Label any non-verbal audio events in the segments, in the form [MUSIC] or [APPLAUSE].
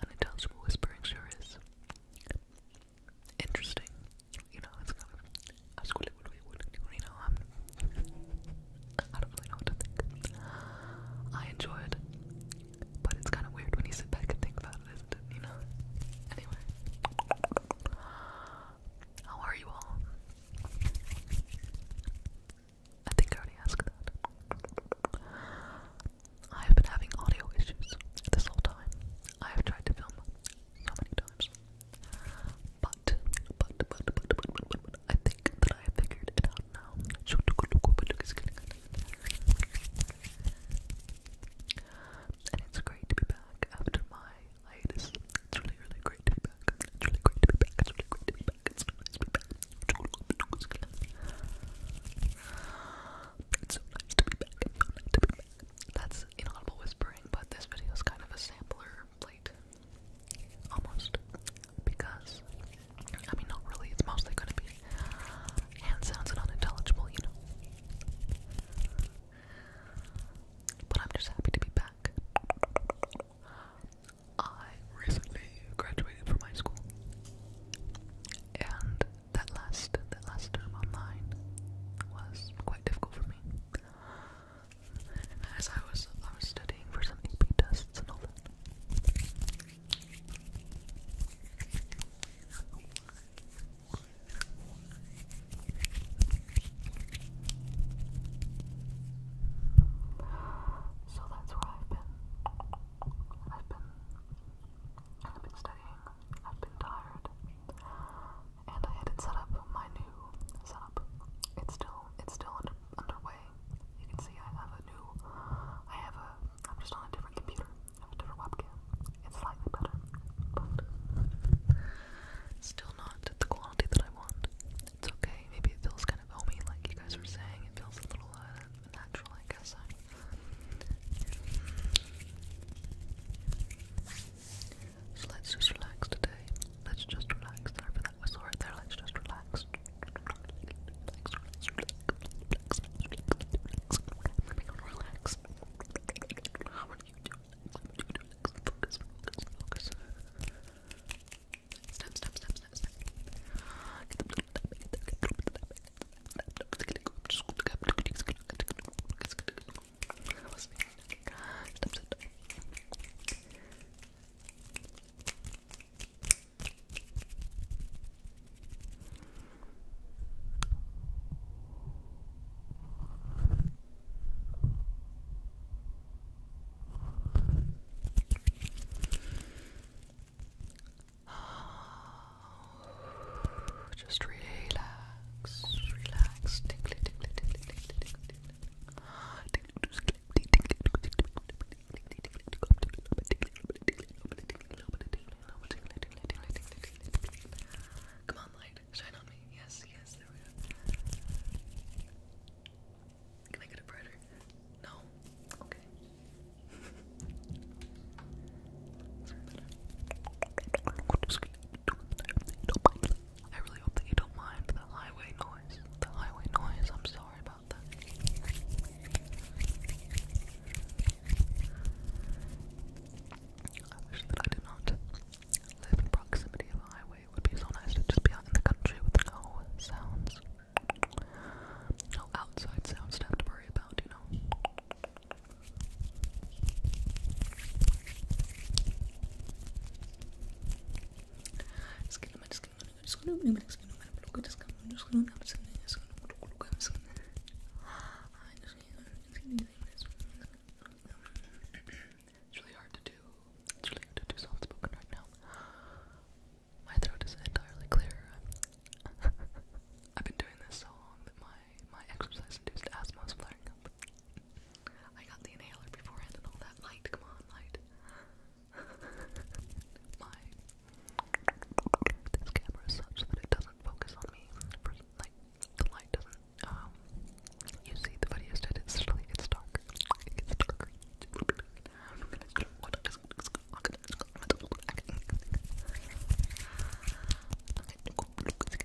unintelligible whispering sure is interesting. You know, I was going what do I don't really know what to think. I enjoy but it's kind of weird when you sit back and think about it? You know? Anyway. How are you all? I think I already asked that. I have been having audio issues this whole time. I have tried to film so many times but, but, but, but, but, but, but, but I think that I have figured it out now. and it's great to be back after my hiatus. It's really, really great to be back. It's really great to be back. It's really great to be back. It's so nice to be back. It's so nice to be back. That's inaudible whispering, but this video is kind of a sampler. Like Almost. Because, I mean, not really, it's mostly gonna be hand sounds and unintelligible, you know. But I'm just happy to be back. I recently graduated from high school. And that last that last term online was quite difficult for me as I was I was studying for some AP tests and all that. So that's where I've been. I've been I've been studying. I've been tired and I had it set up my new setup. It's still it's still under, underway. You can see I have a new I have a I'm just on a different computer. I have a different webcam. It's slightly better, but still not the quality that I want. It's okay. Maybe it feels kind of homey, like you guys were saying. It feels a little uh, natural, I guess. I so let's just relax today. Let's just relax. Sorry that whistle right there. Let's just relax. Relax, relax, relax, relax, relax. relax. How are you doing? Focus, focus, focus. Snap, snap, snap, snap, snap. Get the that was mean. Stop, stop just relax, relax, Come on, light, shine on me. Yes, yes, there we go. Can I get it brighter? No? Okay. I really hope that you don't mind the highway noise. The highway noise, I'm sorry about that. I wish that I did not live in proximity of a highway. It would be so nice to just be out in the country with no sounds. No outside sounds to have to worry about, you know. It's really hard to do. It's really hard to do soft spoken right now. My throat is entirely clear. [LAUGHS] I've been doing this so long that my my exercise-induced asthma is flaring up. I got the inhaler beforehand and all that light. Come on, light. [LAUGHS] my this camera is such that it doesn't focus on me. like the light doesn't. Um, you see the video instead. It's really it's dark. It's dark. Okay. [LAUGHS]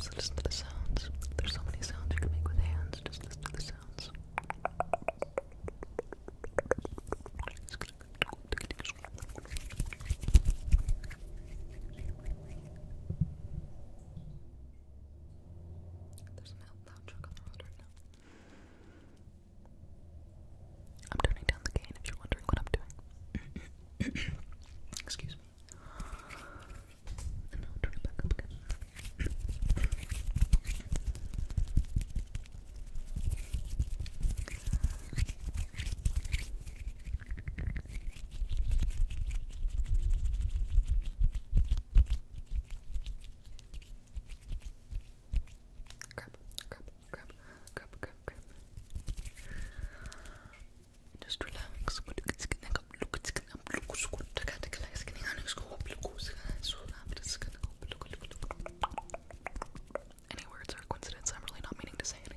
Digga, listen to the sounds. There's so many sounds you can make with hands. Just listen to the sounds. There's an loud truck on the road right now. I'm turning down the gain if you're wondering what I'm doing. [COUGHS] Excuse me. And i crap, crap, crap, crap, crap. Just relax. Any words are coincidence. I'm really not meaning to say anything.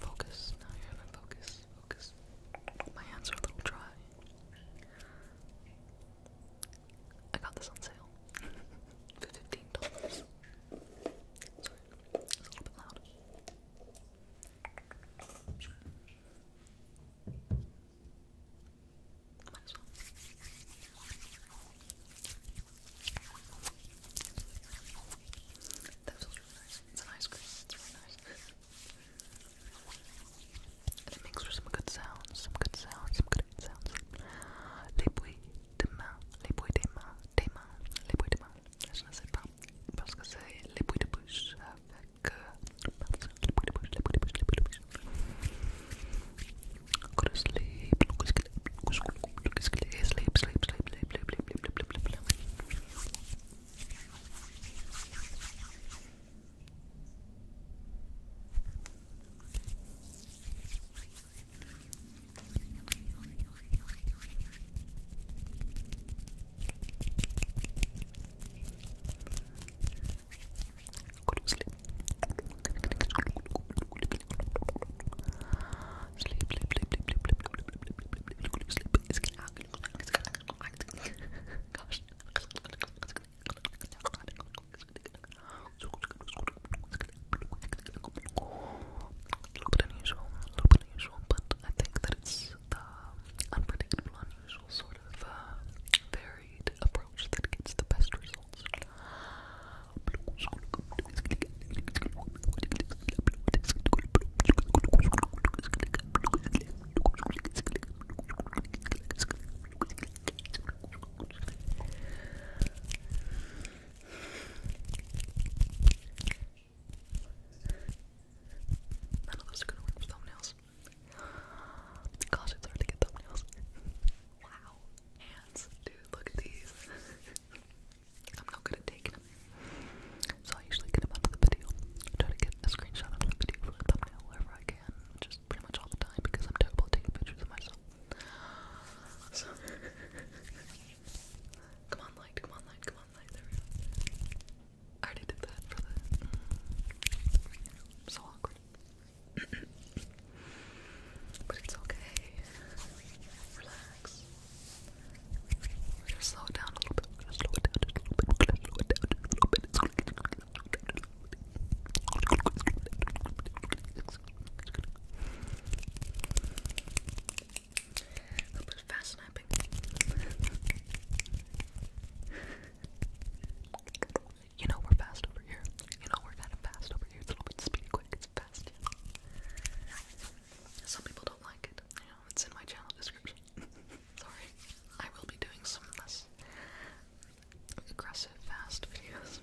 Focus. Now you're gonna focus. Focus. My hands are a little dry. I got this on sale [LAUGHS] for fifteen dollars. Sorry, it's a little bit loud. Might as nice. It's an ice It's really nice. And it makes for some good sounds. Some good sounds. Some good sounds. Les bruits de main. Les bruits des mains. Des mains. Les bruits des mains. Je ne sais pas. Parce que c'est les bruits de bouche Go to sleep. Sleep, sleep, sleep, sleep, sleep, sleep, sleep, sleep, sleep, sleep. Good, Gosh. A little bit unusual, but I think that it's unpredictable sort of uh, varied approach that gets the best results. None of those are gonna work for thumbnails. Gosh, it's hard to get thumbnails. [LAUGHS] wow. Hands. Dude, look at these. [LAUGHS] I'm not good at taking them. So I usually get them out the video. I try to get a screenshot of the video for a thumbnail wherever I can. Just pretty much all the time because I'm terrible at taking pictures of myself. So [LAUGHS] come on light, come on light, come on light, I already did that for the. So awkward. but it's okay. Relax. we slow it down a little bit. We're gonna slow it down a little bit. slow it down a little bit you know we're fast over here. You know we're kind of fast over here. It's a little bit speedy, quick. It's fast. Some people don't like it. it's in my channel description. [LAUGHS] Sorry, I will be doing some less aggressive, fast [LAUGHS] videos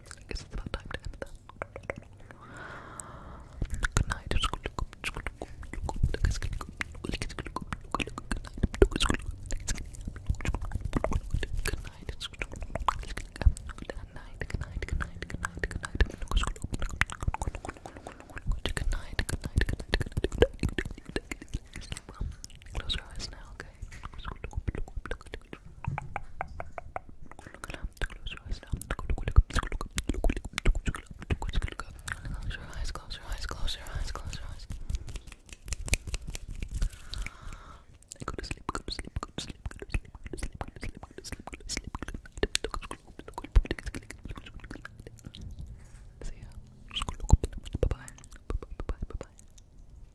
I guess it's about time to end that. Good night. Good night. Good night. Good night. Good night. Good night. Good night. Good night. Good night. Good night. Close your eyes now, okay? Close your eyes now. Close your eyes, close your eyes, close your eyes, close your eyes. I go to sleep, go to sleep, go to sleep, go to sleep, go to sleep, go to sleep, go to sleep, go to sleep, go to sleep. See ya. Bye bye. Bye bye. Bye bye.